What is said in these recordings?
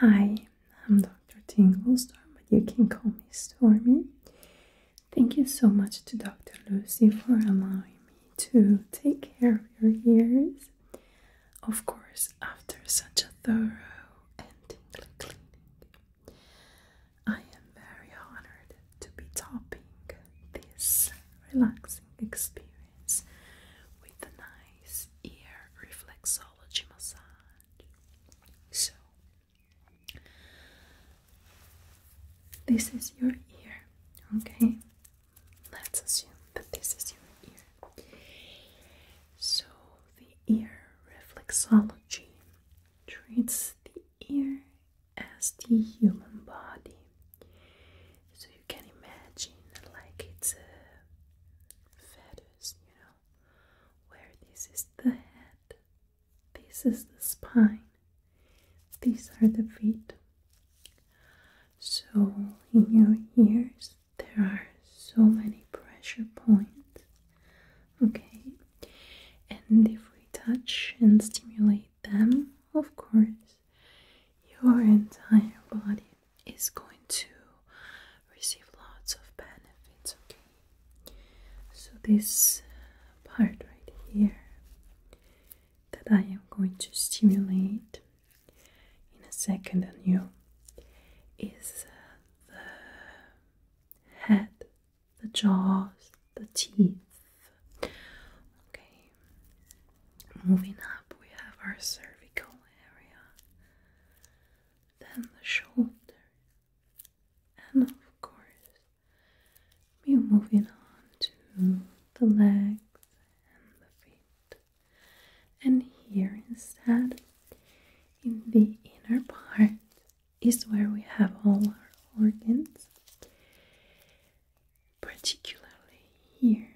Hi, I'm Dr. Tinglestar, but you can call me Stormy. Thank you so much to Dr. Lucy for allowing me to take care of your ears. Of course, after such a thorough and tingly cleaning, I am very honored to be topping this relaxing experience with a nice ear reflexology mixology massage. So, this is your ear, okay? Let's assume that this is your ear. So, the ear reflexology treats the ear as the human body. So, you can imagine like it's a feather you know, where this is the head, this is the spine, these are the feet. So, in your ears, there are so many pressure points. Okay, and if we touch and stimulate them, of course, your entire body is going to receive lots of benefits, okay? So, this part right here that I am going to stimulate in a second on you is uh, the head, the jaws, the teeth. Okay, moving up, we have our cervical area then the shoulder. And of course, we're moving on to the legs and the feet. And here instead, in the inner part, is where we have all our organs, particularly here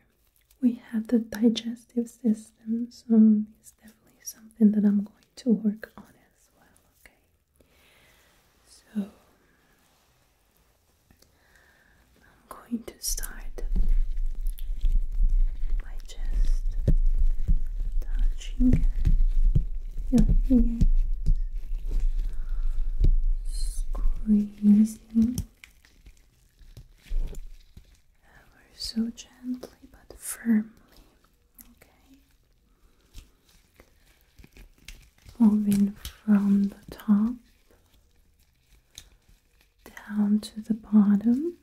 we have the digestive system, so it's definitely something that I'm going to work on as well, okay? So I'm going to start by just touching your ears, squeezing. Ever so gently but firmly. Okay. Moving from the top down to the bottom.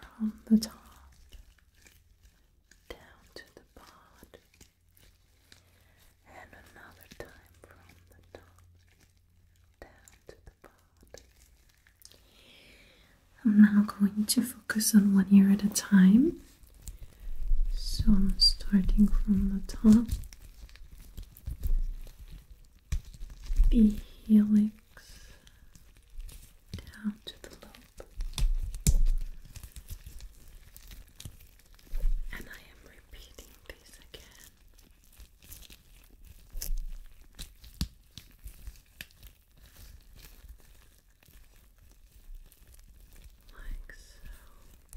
From the top down to the bottom. And another time from the top down to the bottom. I'm now going to focus on one ear at a time. So I'm starting from the top, the helix down to the lobe, and I am repeating this again. Like so.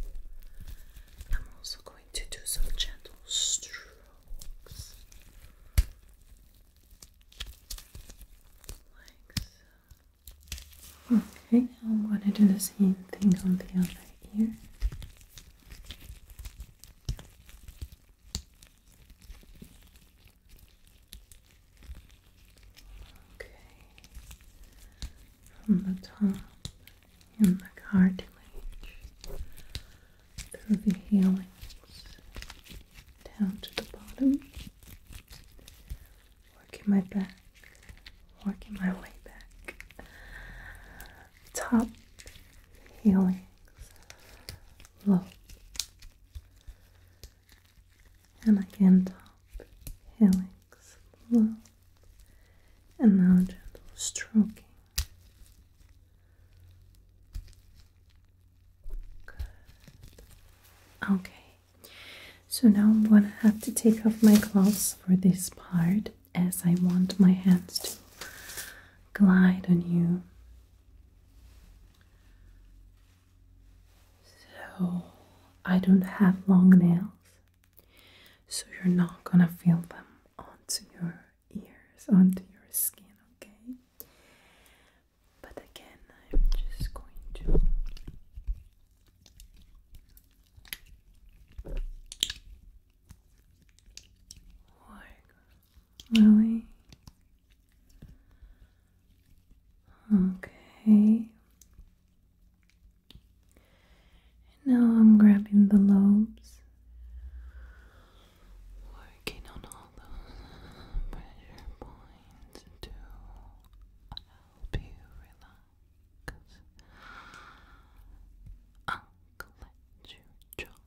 I'm also going to do some gentle strokes. Like so. Okay, now I'm going to do the same thing on the other ear. Okay, from the top in the cartilage through the heels down to the bottom, working my back, working my way back, top feelings low and again top feelings low and now gentle stroking Good. okay so now I'm gonna have to take off my gloves for this part as I want my hands to glide on you so I don't have long nails, so you're not gonna feel them onto your ears, onto your skin, okay? But again, I'm just going to. Work Lily. Okay. Now I'm grabbing the lobes, working on all those pressure points to help you relax. I'll let you drop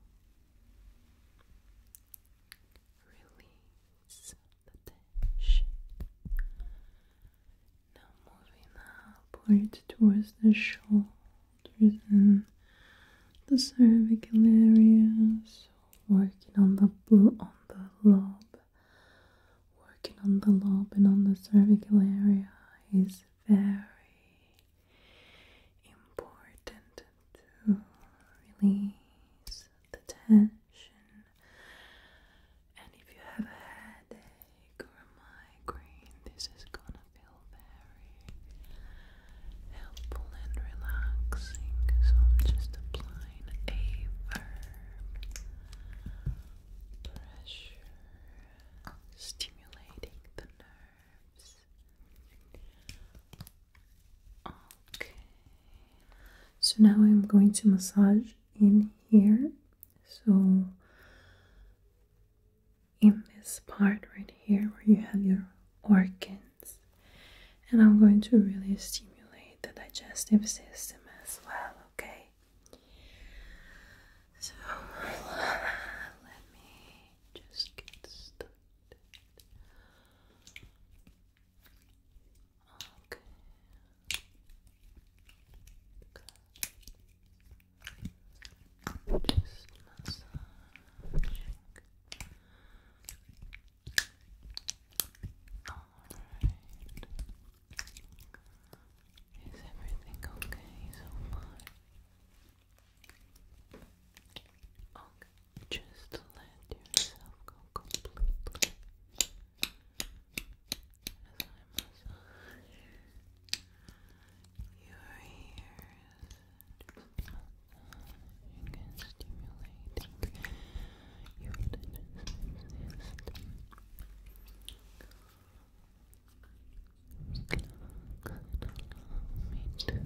Release the Now moving upward towards the shoulders and the cervical areas. working on the on the lobe, working on the lobe and on the cervical area is very important to release the tension. And if you have a headache or a migraine, this is gonna feel very helpful and relaxing. So I'm just applying a firm pressure, stimulating the nerves. Okay. So now I'm going to massage in here. So in this part right here where you have your organs and I'm going to really stimulate the digestive system as well, okay? So let me just get started. Okay. Good. Alright. Is everything okay so far? Okay, just let yourself go completely as I massage your ears. Just massaging and stimulating your digestive system. Just relax and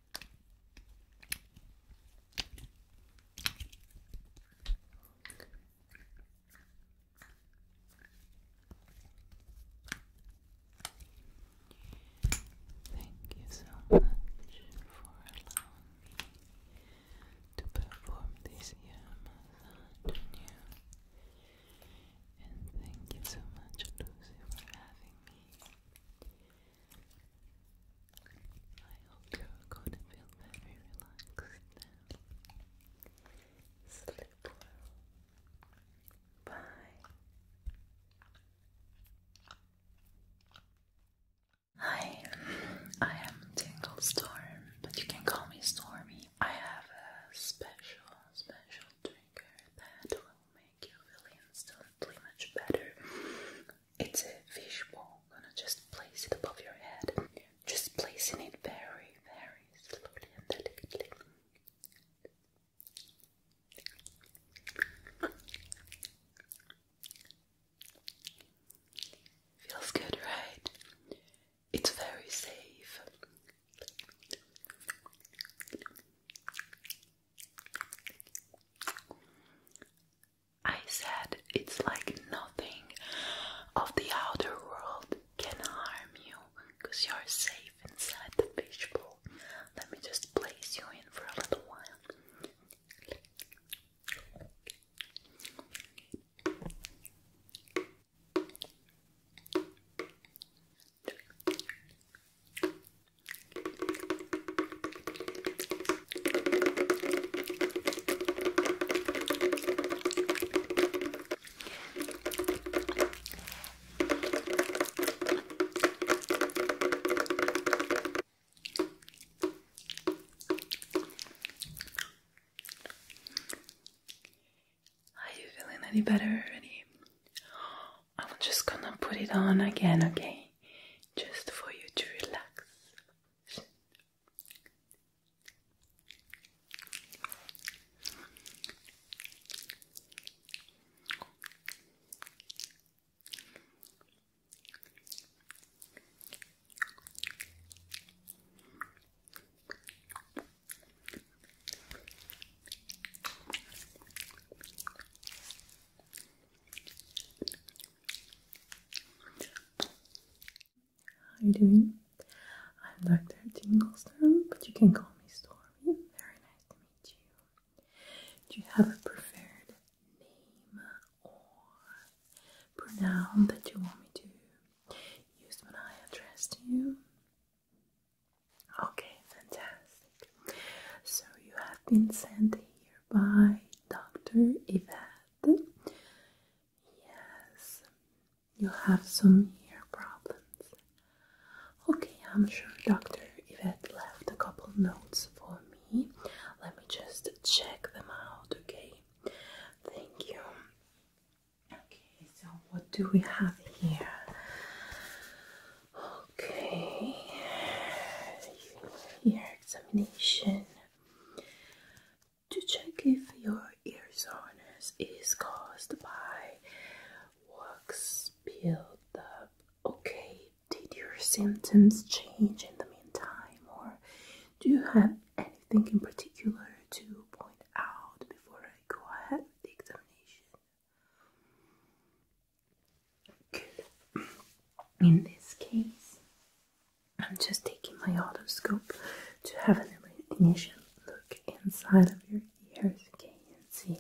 Thank you so much for allowing me to perform this ear And thank you so much, Lucy, for having me. I hope you're going to feel very relaxed now. Sleep well. Bye. Hi, I am Tingle Storm, but you can call me Stormy. I have a special, special trigger that will make you feel instantly much better. It's a fishbowl. I'm gonna just place it above your head. Just placing it very, very slowly and delicately. Feels good, right? It's very safe. I said it's like nothing of the outer world can harm you because you're safe inside the fishbowl. Let me just place you in for a little while. Are you feeling any better already? I'm just gonna put it on again, okay? just for you to relax. How are you doing? I'm Dr. Tinglestorm, but you can call me Stormy. Very nice to meet you. Do you have a preferred name or pronoun that you want me to use when I address you? Okay, fantastic. So you have been sent by Dr. Yvette. Yes, you have some ear problems. Okay, I'm sure Dr. Yvette left a couple notes for me. Let me just check them out, okay? Thank you. Okay, so what do we have here? Okay, here examination to check if your ear soreness is caused by wax build up. Okay, did your symptoms change in the meantime, or do you have anything in particular to point out before I go ahead with the examination? Good. In this case, I'm just taking my otoscope to have an initial look inside of your ears, okay, and see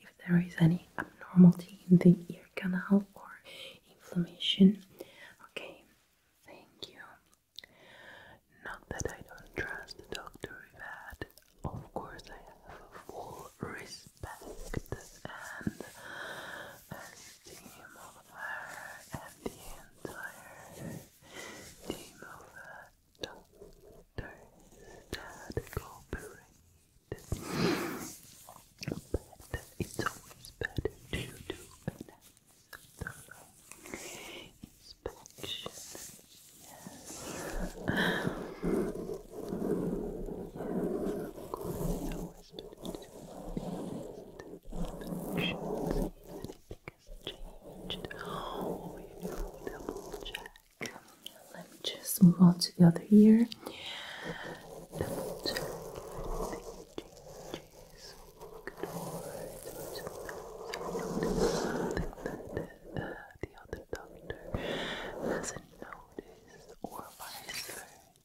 if there is any abnormality in the ear canal or inflammation. Okay, thank you. Not that I don't trust the doctor, Yvette. Of course, I have a full risk respect and esteem of her and the entire team of doctors that cooperate. But it's always better to do an thorough inspection. Yes changed. Oh, you know, double check. Let me just move on to the other ear. Something that the, other doctor hasn't noticed, or vice I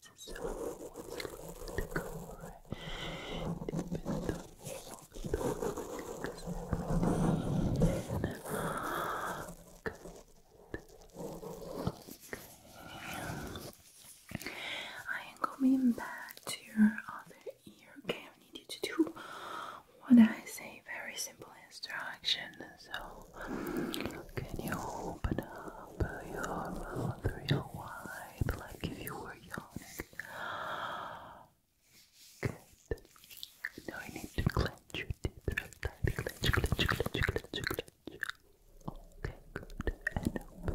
am coming back to your other ear. Okay, I need you to do what I say. Very simple instruction. So, can you Open up your mouth real wide, like if you were yawning. Good. Now I need to clench your teeth real tight. Clench, clench, clench, clench, clench. Okay, good.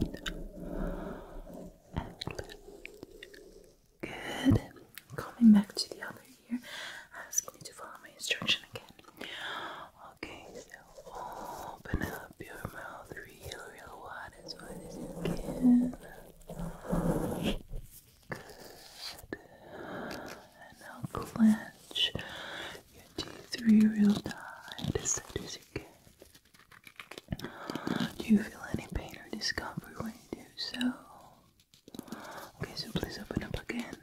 And open Good. Coming back to the other ear, asking you to follow my instruction again. Okay, so open up your mouth real, real wide as wide as you can. And now clench your teeth real tight as tight as you can. Do you feel any pain or discomfort when you do so? Okay, so please open up again.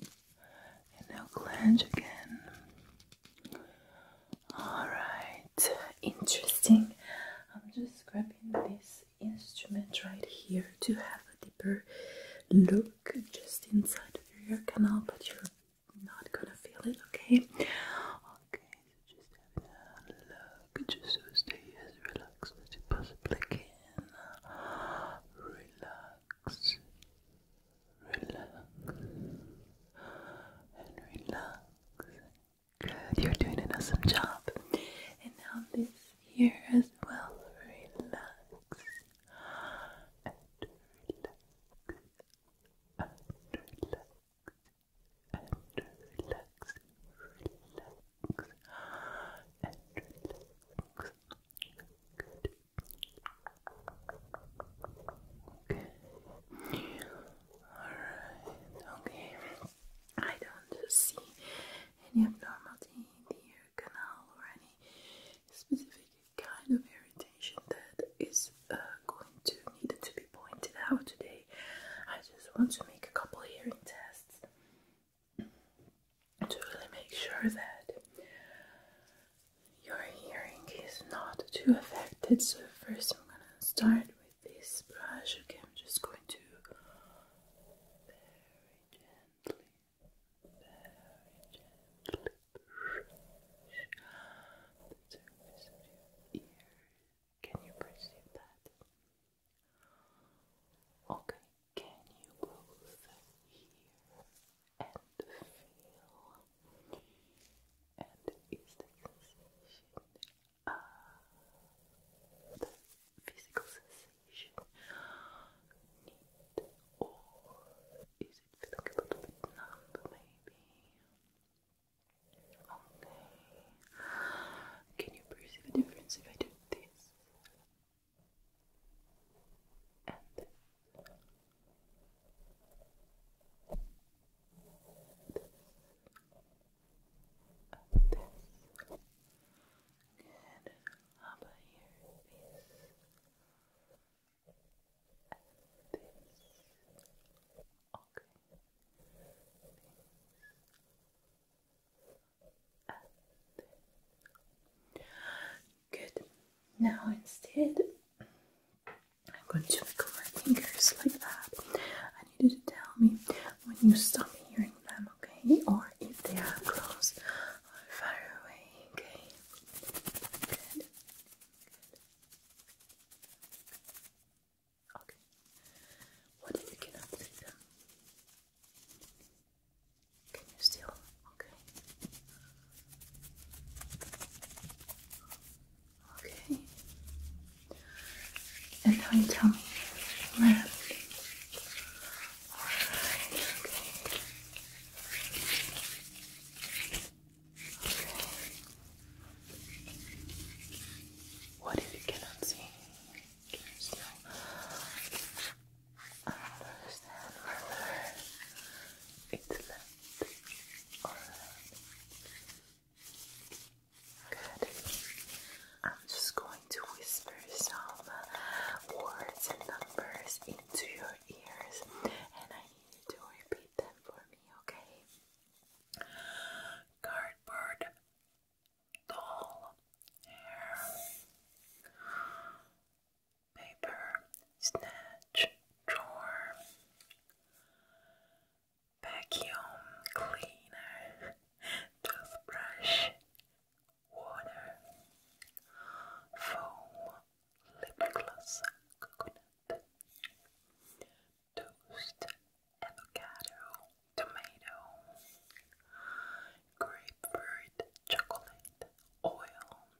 And now clench again. All right, interesting. I'm just grabbing this instrument right here to have a deeper look just inside of your ear canal, but you're not gonna feel it, okay? Okay, just having a look, just so stay as relaxed as you possibly can. Relax, relax and relax. Good, you're doing an awesome job. And now this here as well. Relax and relax and relax and relax, relax and relax. Good, Okay. Alright, okay. I don't see any abnormality in the ear canal or any specific kind of irritation that is uh, going to need to be pointed out today. I just want to make a couple hearing tests to really make sure that your hearing is not too affected. So, first, I'm gonna start with this brush. Okay, I'm just going to very gently, very gently brush the surface of your ear. Can you perceive that? Okay, can you both hear? and feel, and is the sensation of the physical sensation need, or is it feeling a little bit numb, maybe? Okay, can you perceive a difference if I do this. Up this. Good. How about your face? Up this. Okay. Face. this. Good. Now instead I'm going to wiggle my fingers like that. I need you to tell me when you stop hearing them, okay? Or if they are close or far away, okay? Good. Good. Okay. What if you cannot see them? Can you still? Okay. Okay. And now you tell me left. What if you cannot see? Can you still understand whether it's left Good. I'm just going to whisper some words and numbers into your ears, and I need you to repeat them for me, okay? Cardboard, doll, hair, paper, snatch, drawer, vacuum cleaner, toothbrush, water, foam, lip gloss, coconut, toast, avocado, tomato, grapefruit, chocolate, oil,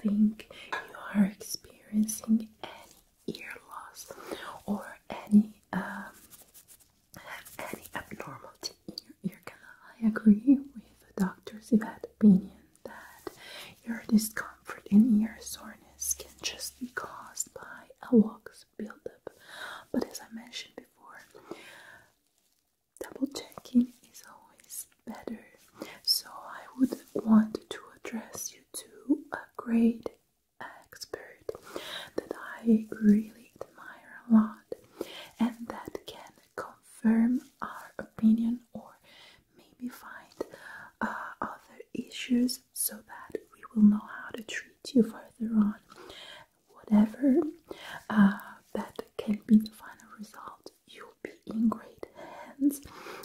think you are experiencing any ear loss or any have um, any abnormality in your ear canal, I agree with Dr. Zivet's opinion that your discomfort in ear soreness can just be caused by a wax buildup. But as I mentioned before, double checking is always better. So I would want to address you to a great expert that I really admire a lot and that can confirm our opinion or maybe find uh, other issues so that we will know how to treat you further on. Whatever uh, that can be the final result you'll be in great hands,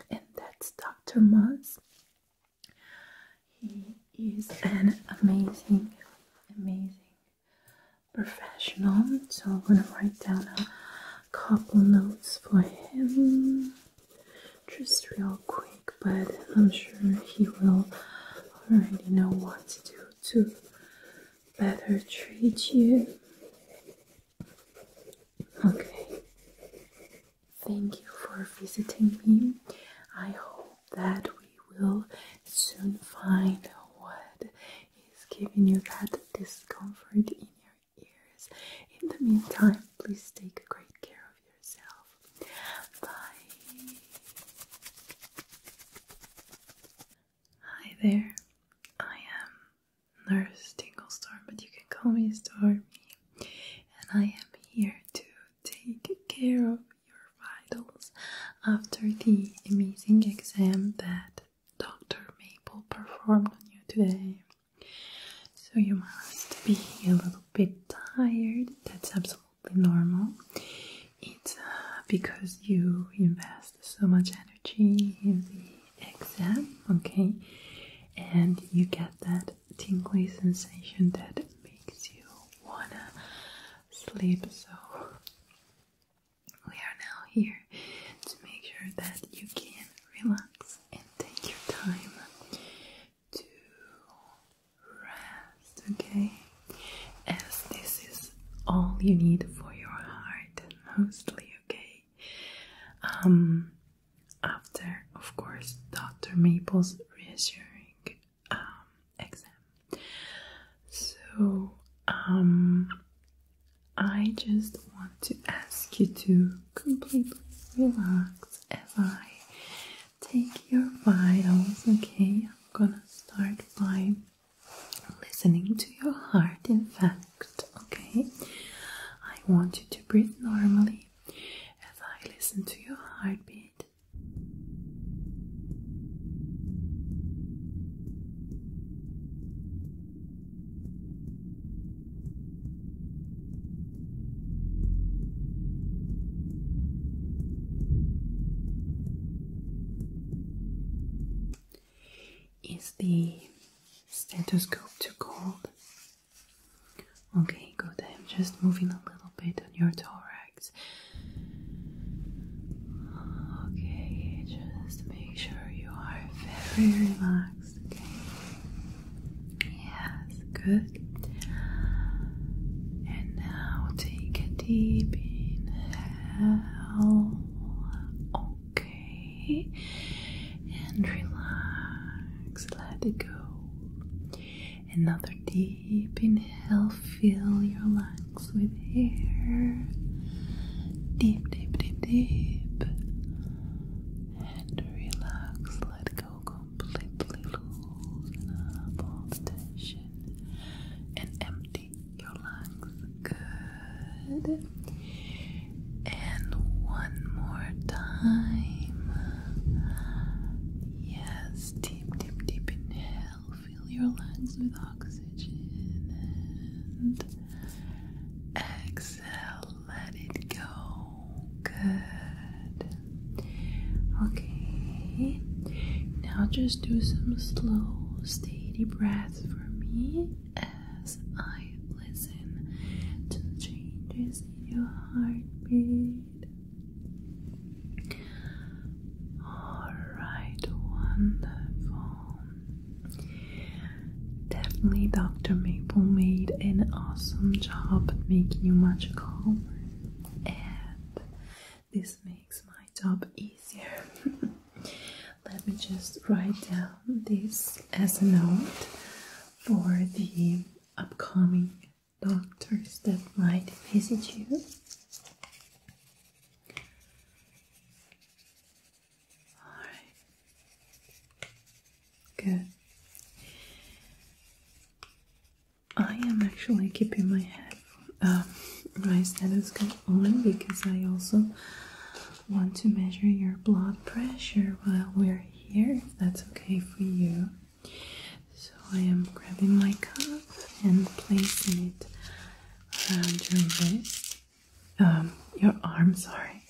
and that's Dr. Moss. He is an amazing, amazing professional. So I'm gonna write down a couple notes for him just real quick, but I'm sure he will already know what to do to better treat you. Okay. Thank you for visiting me. I hope that we will soon find what is giving you that discomfort in your ears. In the meantime, please take great care of yourself. Bye. Hi there. I am Nurse Tinglestorm, but you can call me Stormy. And I am here to take care of your vitals after the amazing exam that Dr. Maple performed on you today. So you must be a little bit tired, that's absolutely normal. It's uh, because you invest so much energy in the exam, okay? And you get that tingly sensation that makes you wanna sleep. So, we are now here to make sure that you can relax and take your time to rest, okay? As this is all you need for your heart, mostly, okay? Um, after, of course, Dr. Maple's reassuring um, exam. So, um, I just want to ask you to completely relax as I take your vitals, okay? I'm gonna start by listening to your heart in fact Okay. I want you to breathe normally as I listen to your heartbeat. Is the stethoscope too cold? Okay, good. I'm just moving a little bit on your thorax. Okay, just make sure you are very relaxed. Yes, good. And now take a deep inhale. Oh, okay and relax let it go another deep inhale fill your lungs with air deep deep deep deep and relax let go completely loosen all tension and empty your lungs good and one more time. Yes, deep, deep, deep inhale. Fill your lungs with oxygen. And exhale, let it go. Good. Okay. Now just do some slow, steady breaths for me as I listen to the changes in your heartbeat. Alright, wonderful. Definitely, Dr. Maple made an awesome job making you magical, and this makes my job easier. Let me just write down this as a note for the upcoming doctors that might visit you. Alright. Good. I am actually keeping my head, uh, my stethoscope on because I also want to measure your blood pressure while we're here, if that's okay for you. So I am grabbing my cuff and placing it around your wrist, um, your arm, sorry.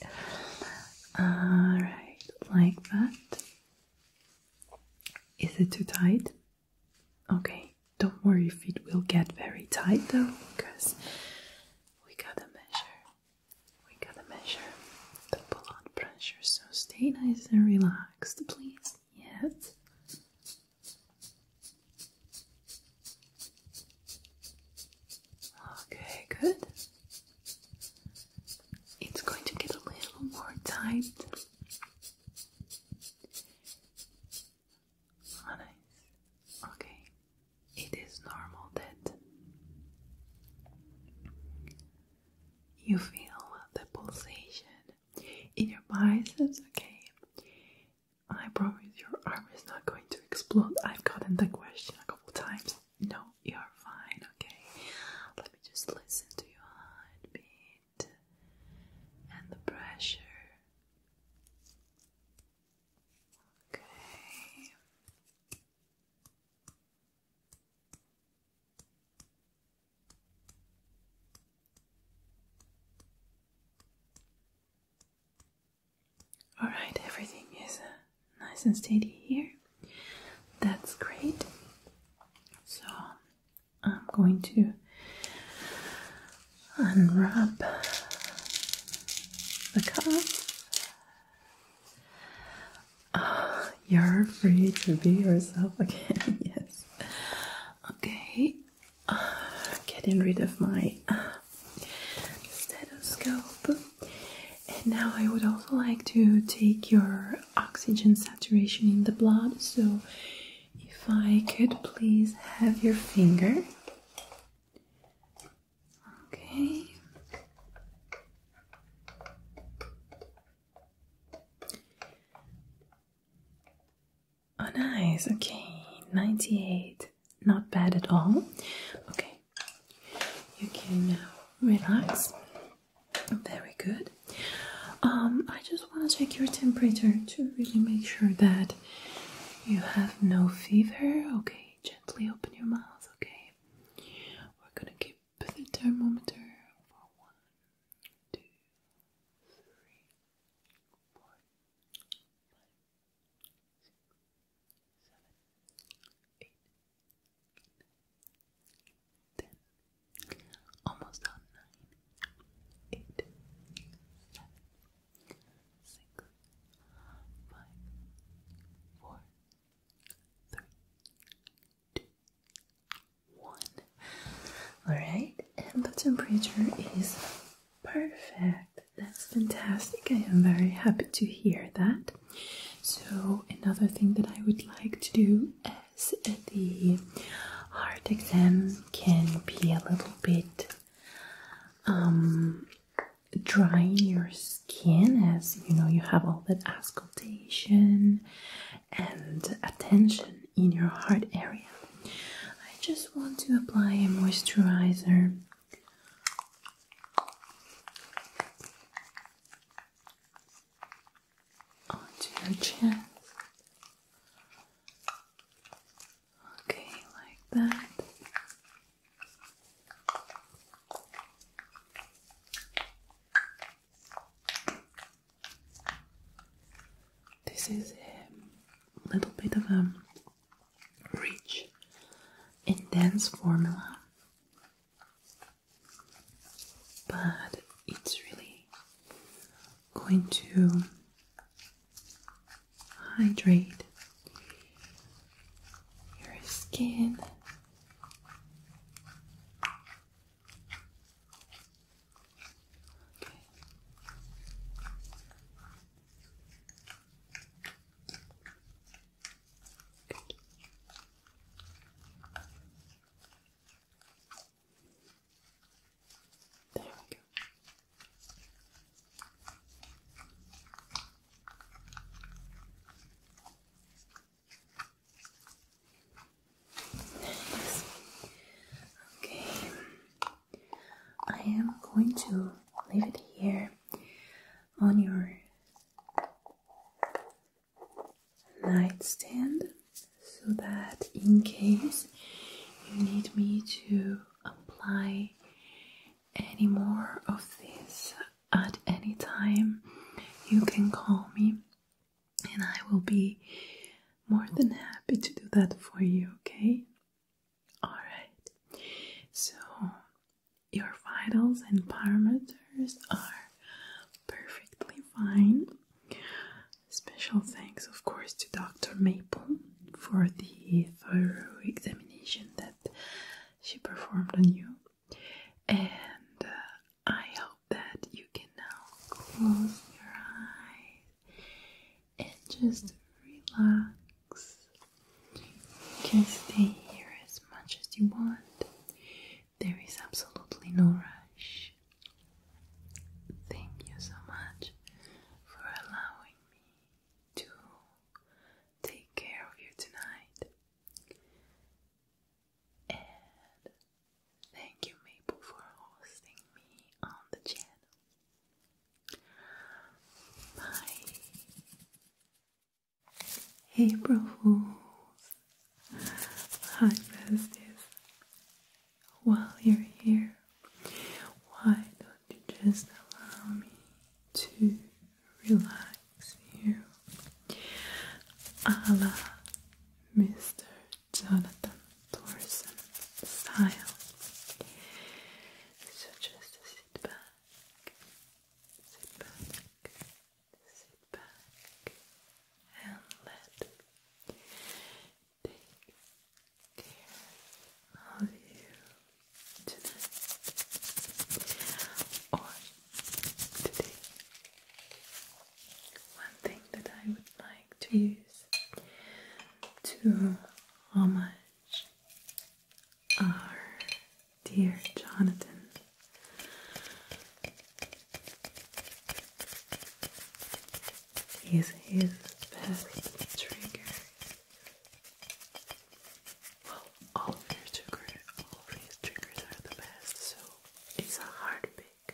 Alright, like that. Is it too tight? Okay, don't worry if it will get very tight though, because we gotta measure we're to measure the blood pressure, so stay nice and relaxed, please. Yes. Okay, good. It's going to get a little more tight. nice. Okay, it is normal that you feel the pulsation in your biceps, okay? I promise your arm is not going to explode. I've gotten the question a couple times. No, you're fine, okay? Let me just listen to your heartbeat and the pressure. Okay. Alright, everything is uh, nice and steady here. That's great. So I'm going to unwrap the cup. you're free to be yourself again, yes. Okay, getting rid of my stethoscope. And now I would also like to take your oxygen saturation in the blood. So, if I could please have your finger. Okay. Oh, nice. Okay, 98. Not bad at all. Okay, you can relax. Very good. Um, I just want to check your temperature to really make sure that you have no fever. Okay, gently open your mouth. Okay we're gonna keep the thermometer for one, two, three, four, five, six, seven, eight, ten, almost on nine, eight, seven, three, two, one. Alright, and the temperature is perfect. That's fantastic. I am very happy to hear that. So, another thing that I would like to do as the heart exam can be a little bit um, drying your skin as you know you have all that ascultation and attention in your heart area. I just want to apply a moisturizer. Onto your chin. Okay, like that. This is a little bit of a rich intense formula, but it's really going to hydrate your skin. There we go. Okay, I am going to leave it here on your nightstand so that in case you need me to apply any more of this at any time, you can call me and I will be more than happy to do that for you, okay? Alright, so your vitals and parameters are perfectly fine. Special thanks, of course, to Dr. Maple for the thorough examination that she performed on you and uh, I hope that you can now close your eyes and just relax. You can stay here as much as you want, there is absolutely no rush. Thank you so much for allowing me to take care of you tonight. And thank you, Maple, for hosting me on the channel. Bye. April Fools. How best while you're here, why don't you just allow me to relax you a Mr. Jonathan Thorson style. So just sit back, sit back, sit back, and let take care of you tonight or today. One thing that I would like to use to homage our dear Jonathan is his best trigger well, all your triggers, all these triggers are the best, so it's a hard pick.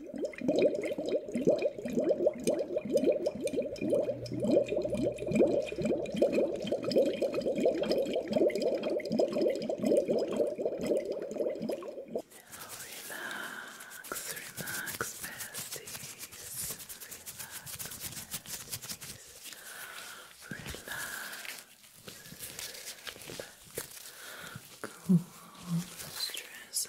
Relax, relax, besties. Relax, besties. Relax. Let go of the stress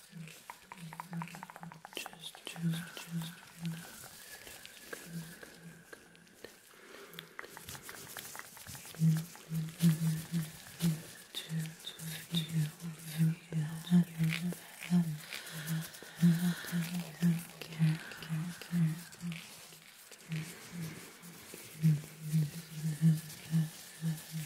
Just, just, just relax. Good, good, good. Just feel that that that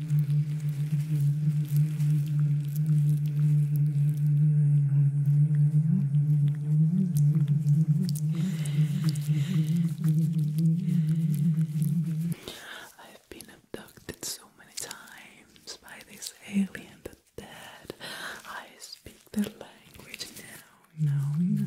I've been abducted so many times by this alien dead. I speak their language now. No, no.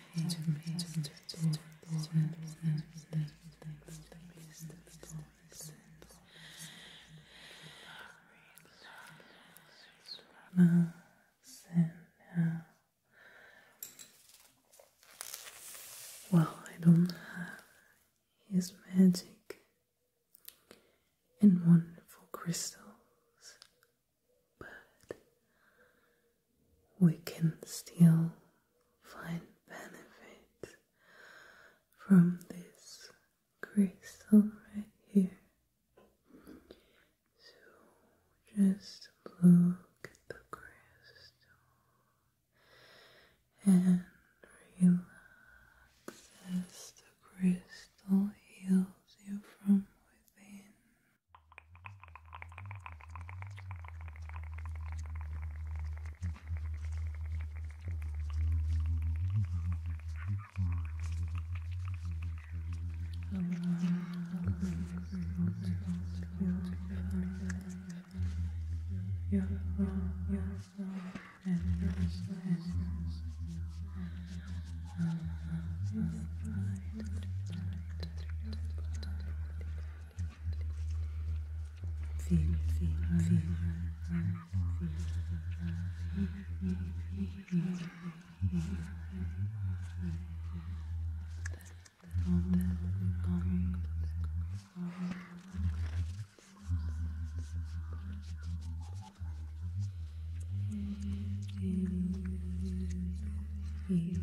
now. Well, I don't have his magic and wonderful crystals but we can still find benefits from this crystal right here. So just look at the crystal and relax as the crystal heals you from within. Your love, your love, and your and your love is light, light, Feel, feel, feel, feel,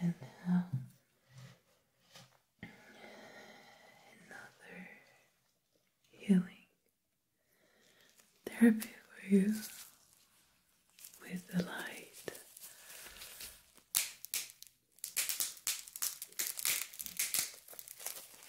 And now another healing therapy for you with the light.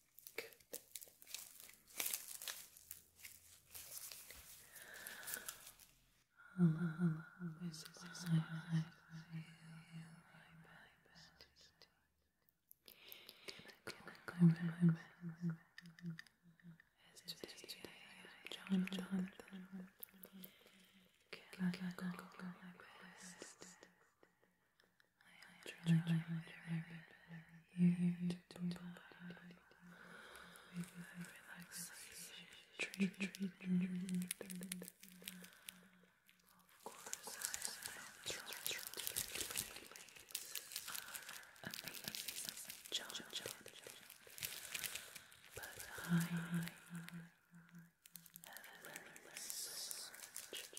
Good. Hello, This is how I feel. I'm going as today, today Can I go, go, I have tried everything to provide you with a relaxation Of course, I have tried different ways. but I have learned much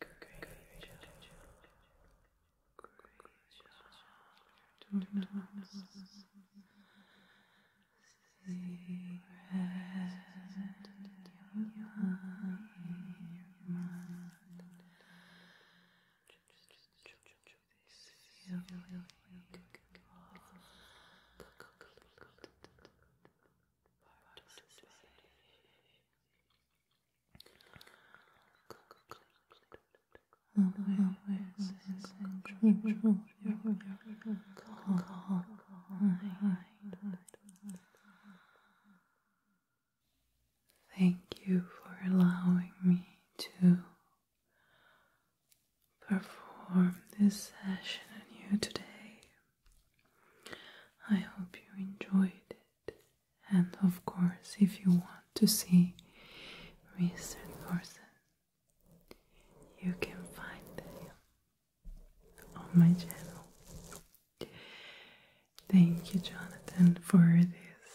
Great job. Great job. See red in your mind. This feeling of part Thank you for allowing me to perform this session on you today. I hope you enjoyed it. And of course, if you want to see Mr. Thorson, you can find him on my channel. Thank you, Jonathan, for this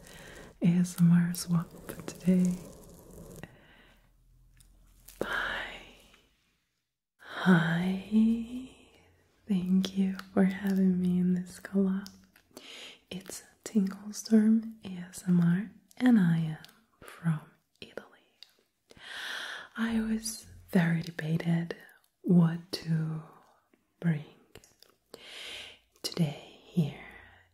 uh, ASMR swap today. Bye. Hi, thank you for having me in this collab. It's Tinkle Storm ASMR, and I am from Italy. I was very debated what to bring today here,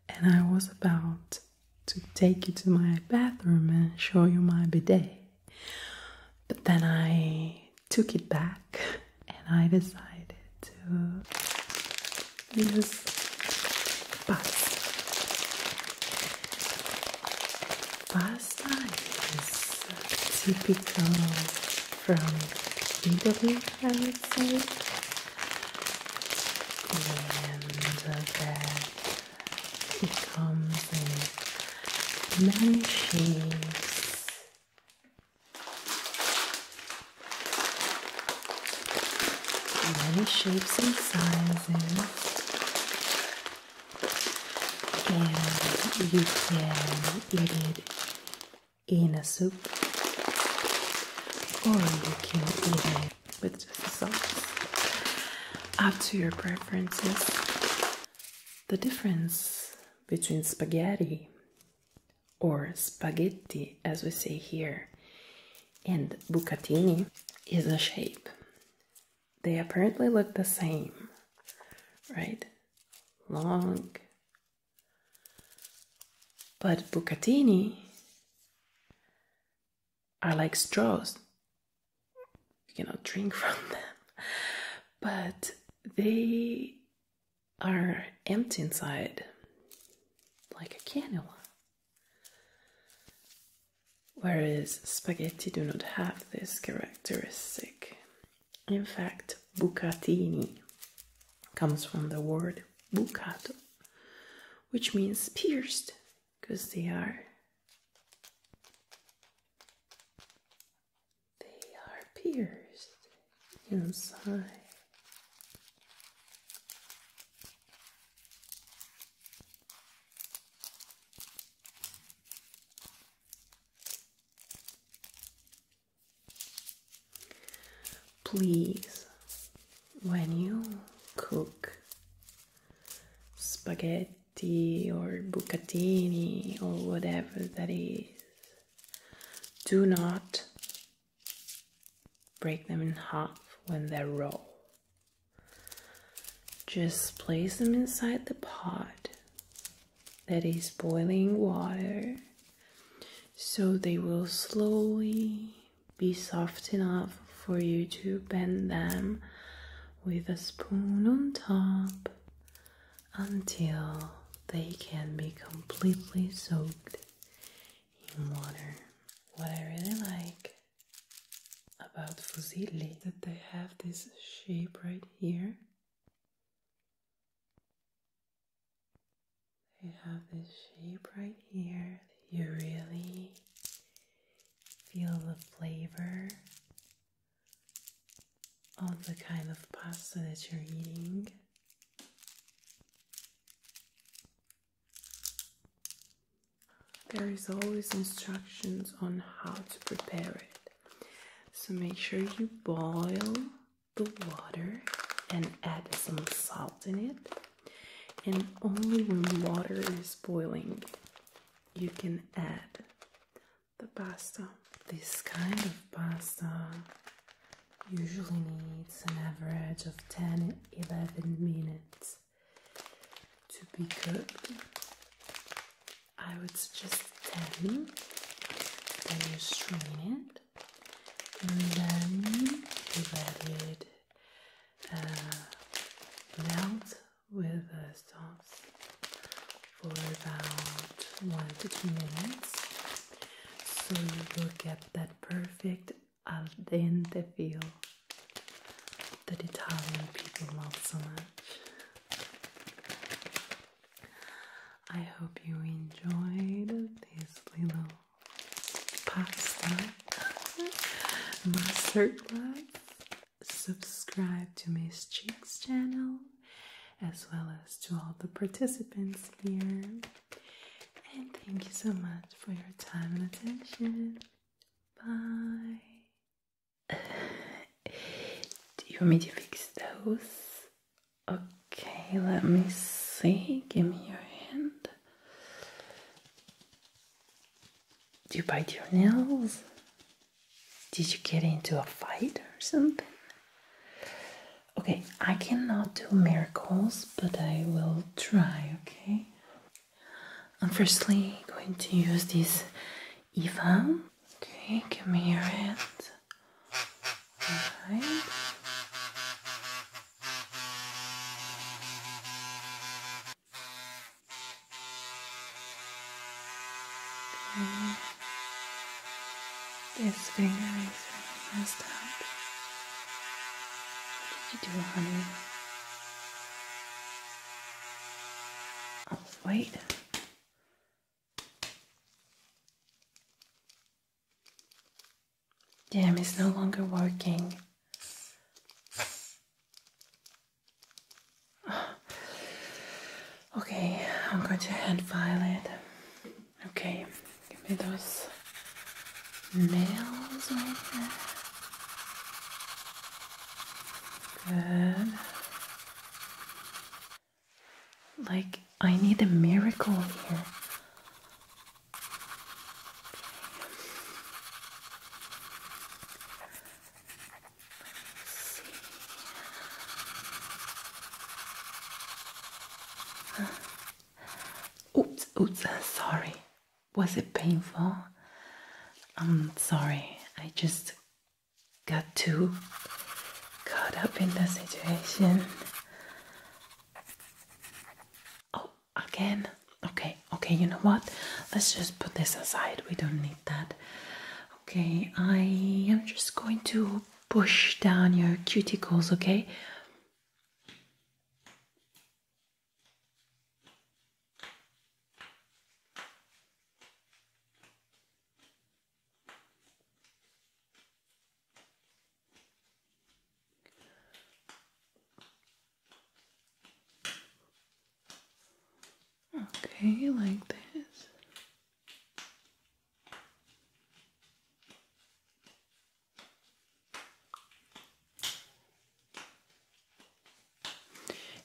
and I was about to take you to my bathroom and show you my bidet. But then I took it back and I decided to use pasta. Pasta is typical from Italy, I would say. And the he comes in many shapes. Many shapes and sizes. And you can eat it in a soup, or you can eat it with just the sauce, up to your preferences. The difference between spaghetti or spaghetti, as we say here, and bucatini is a shape. They apparently look the same, right? Long. But bucatini are like straws you cannot drink from them but they are empty inside like a cannula whereas spaghetti do not have this characteristic in fact bucatini comes from the word bucato which means pierced because they are they are pierced inside. Please, when you cook spaghetti or Bucatini or whatever that is. Do not break them in half when they're raw. Just place them inside the pot that is boiling water so they will slowly be soft enough for you to bend them with a spoon on top until they can be completely soaked in water. What I really like about fusilli that they have this shape right here. They have this shape right here. You really feel the flavor of the kind of pasta that you're eating. There is always instructions on how to prepare it. So make sure you boil the water and add some salt in it. And only when water is boiling you can add the pasta. This kind of pasta usually needs an average of 10 11 minutes to be cooked. I would suggest 10, then you strain it, and then you add it uh, melt with a sauce for about one to two minutes so you will get that perfect al dente feel that Italian people love so much. I hope you enjoyed this little pasta masterclass. Subscribe to Miss Cheeks channel as well as to all the participants here. And thank you so much for your time and attention. Bye. Do you want me to fix those? Okay, let me see. Give me your hand. Do you bite your nails? Did you get into a fight or something? Okay, I cannot do miracles, but I will try, okay? I'm firstly going to use this Eva. Okay, give me your hand. This finger is messed up. What did you do, honey? Oh, wait. Damn, it's no longer working. Okay, I'm going to hand file it. Okay, give me those nails Good. Like, I need a miracle here. Oops, oops, sorry. Was it painful? I'm sorry. I just got too caught up in the situation. Oh, again? Okay, okay, you know what? Let's just put this aside. We don't need that. Okay, I am just going to push down your cuticles, okay? Okay, like this.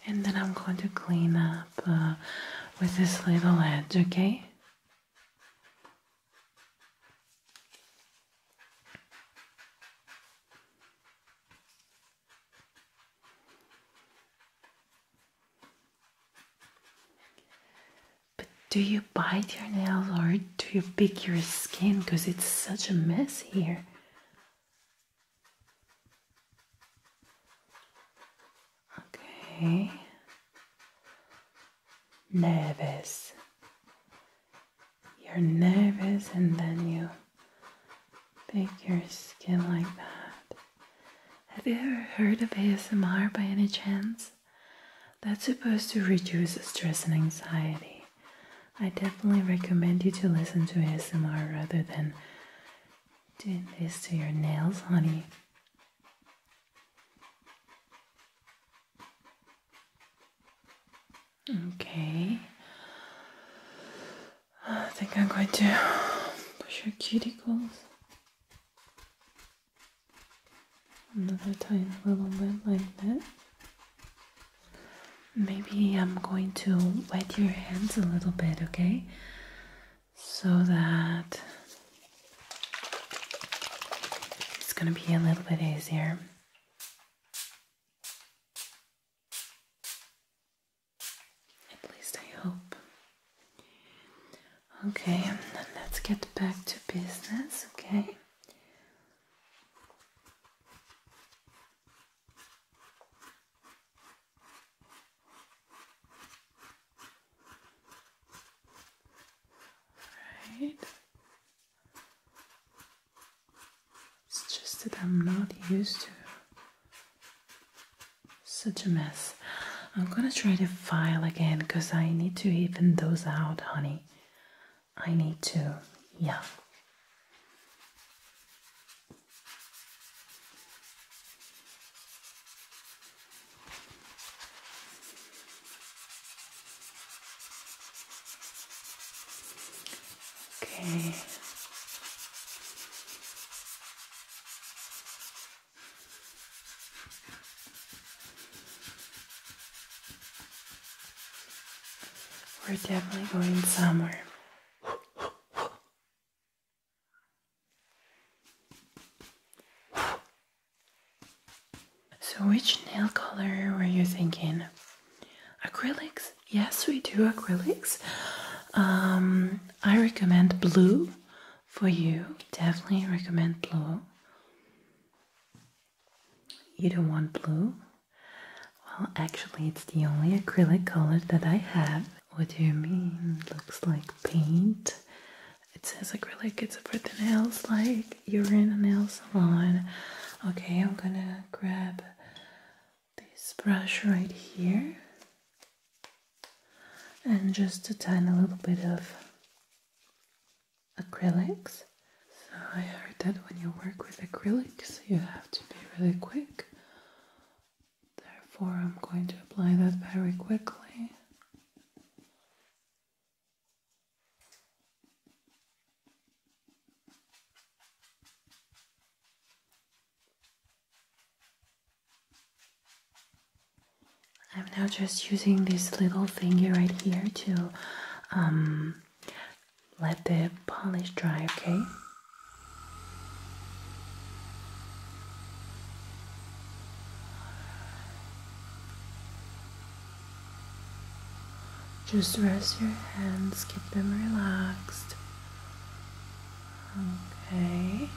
And then I'm going to clean up uh, with this little edge, okay? But do you bite your nails or do you pick your skin? Because it's such a mess here. Okay. Nervous. You're nervous and then you pick your skin like that. Have you ever heard of ASMR by any chance? That's supposed to reduce stress and anxiety. I definitely recommend you to listen to ASMR rather than doing this to your nails, honey. Okay. I think I'm going to push your cuticles another tiny little bit like that. Maybe I'm going to wet your hands a little bit, okay? So that it's gonna be a little bit easier. At least I hope. Okay, let's get back to business, okay? Right. It's just that I'm not used to such a mess. I'm gonna try to file again because I need to even those out, honey. I need to, yeah. Okay. We're definitely going somewhere. So, which nail color were you thinking? Acrylics? Yes, we do acrylics. Um, I recommend blue for you, definitely recommend blue. You don't want blue? Well, actually, it's the only acrylic color that I have. What do you mean? looks like paint. It says acrylic, it's for the nails, like you're in a nail salon. Okay, I'm gonna grab this brush right here and just a tiny little bit of acrylics. So I heard that when you work with acrylics, you have to be really quick. Therefore, I'm going to apply that very quickly. I'm now just using this little finger right here to um, let the polish dry, okay? Just rest your hands, keep them relaxed. Okay.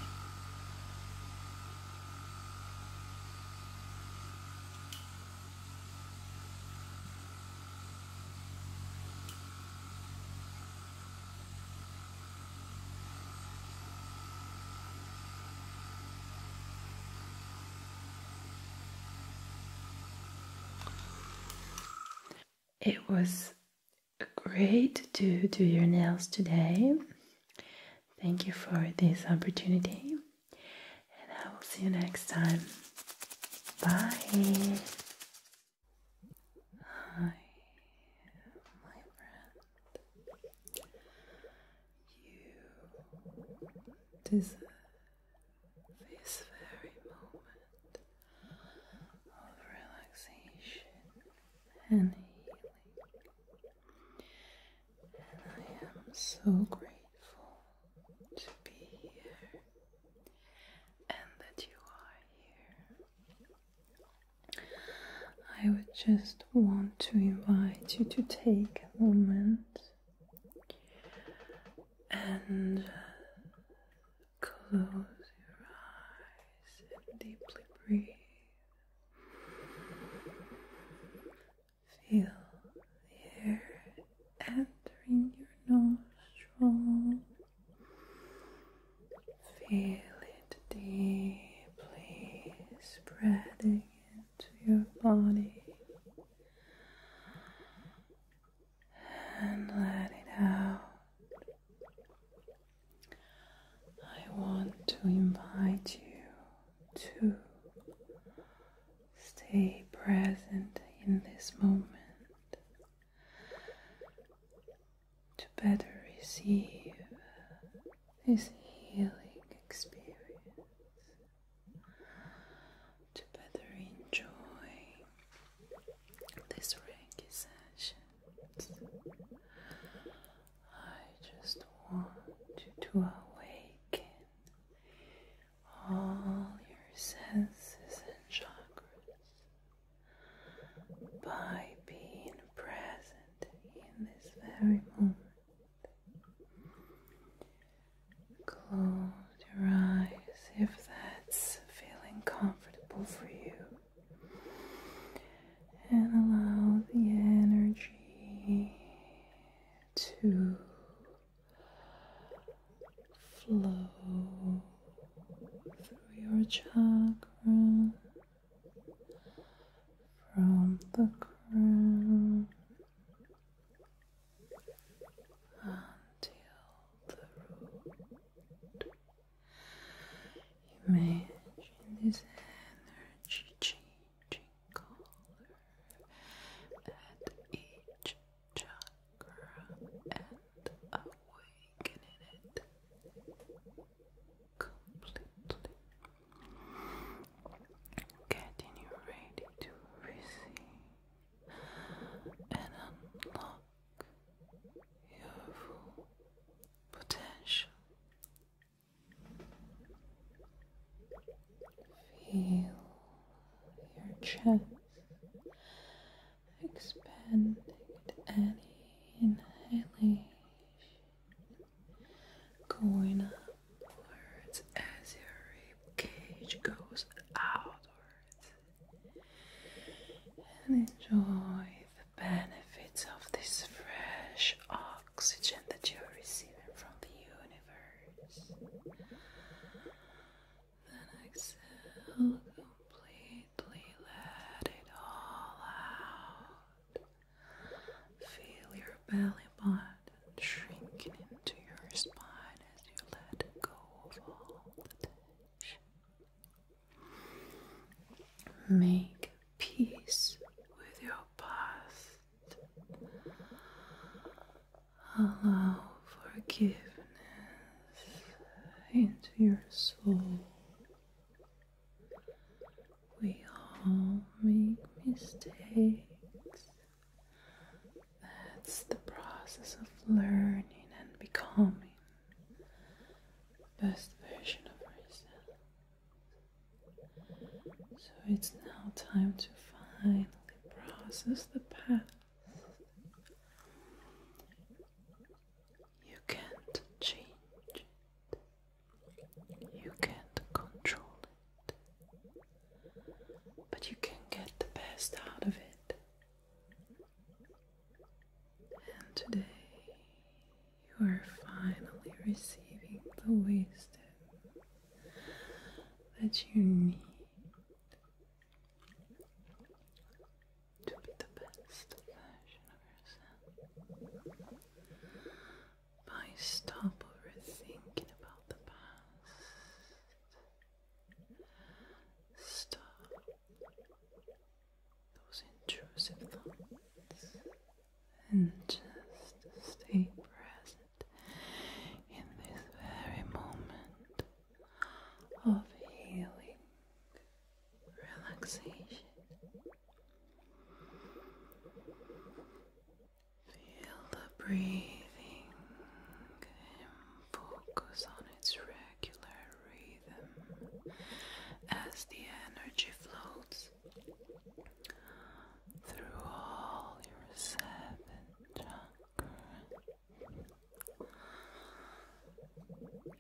It was great to do your nails today. Thank you for this opportunity, and I will see you next time. Bye and healing. And I am so grateful to be here and that you are here. I would just want to invite you to take a moment and close your eyes and deeply breathe. Feel the air entering your nostrils. Feel it deeply spreading into your body and let it out. I want to invite you to stay present in this moment to better receive this healing experience, to better enjoy this Reiki session. I just want you to awaken all your senses and chakras by being present in this very moment. Close your eyes if that's feeling comfortable for you and allow the energy to flow through your chakra from the crown until the root. Imagine this energy changing color at each chakra and awakening it completely. Getting you ready to receive and unlock your full potential. Feel your chest expanding and any going upwards as your rib cage goes outwards, and enjoy the benefits of this fresh oxygen that you are receiving from the universe. Then exhale completely, let it all out. Feel your belly button shrinking into your spine as you let go of all the tension. Make peace with your past. Allow forgiveness into your soul. We all make mistakes. That's the process of learning and becoming the best version of ourselves. So it's now time to finally process the past. You can't change it, you can't control it, but you can get the best out of it. And today you are finally receiving the wisdom that you need to be the best version of yourself. By stop overthinking about the past. Stop those intrusive thoughts and just stay present in this very moment of healing, relaxation. Feel the breathing and focus on its regular rhythm as the energy flows through all your seven chakras.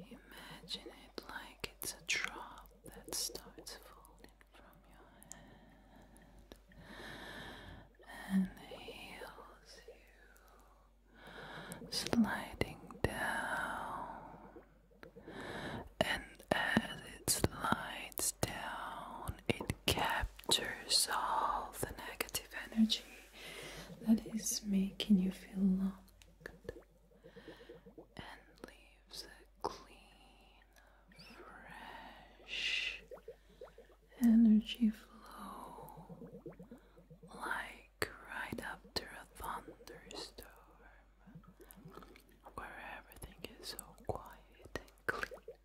Imagine it like it's a drop that starts falling from your head and heals you, sliding down and as it slides down, it captures all the negative energy that is making you feel locked and leaves a clean, fresh energy flow like right after a thunderstorm where everything is so quiet and clean.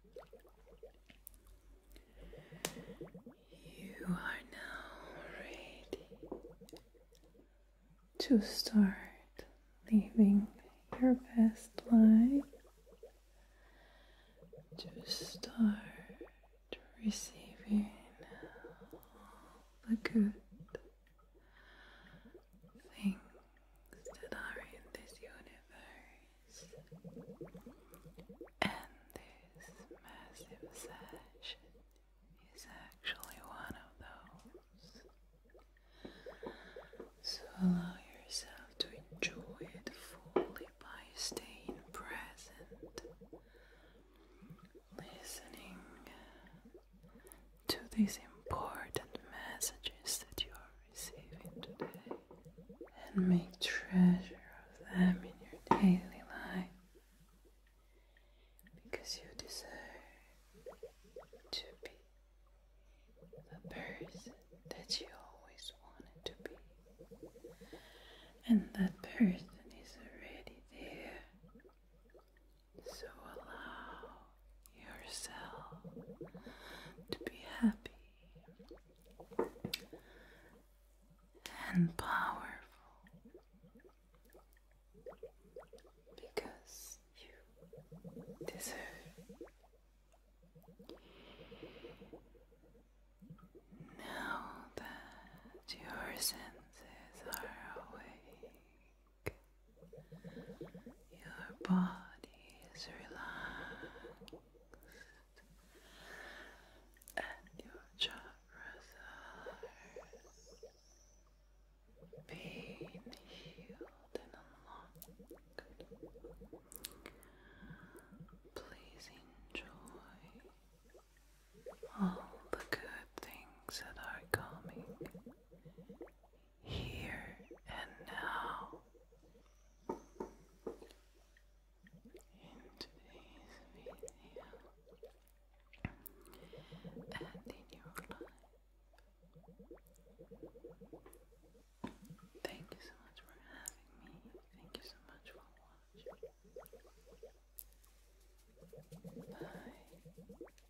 You are now ready to start living your best life, to start receiving all the good things that are in this universe. And this massive sash is actually one of those. So allow yourself to enjoy it fully by staying present, listening to these important messages that you are receiving today and make treasure of them in your daily life because you deserve to be the person that you always wanted to be. And that person is already there so allow yourself to be happy and powerful because you deserve now that your senses are awake your body is relaxed and your chakras are being healed and unlocked. Please enjoy all the good things that are coming here and now. In today's video, and in your life. Thank you so much for having me. Thank you so much for watching. Bye.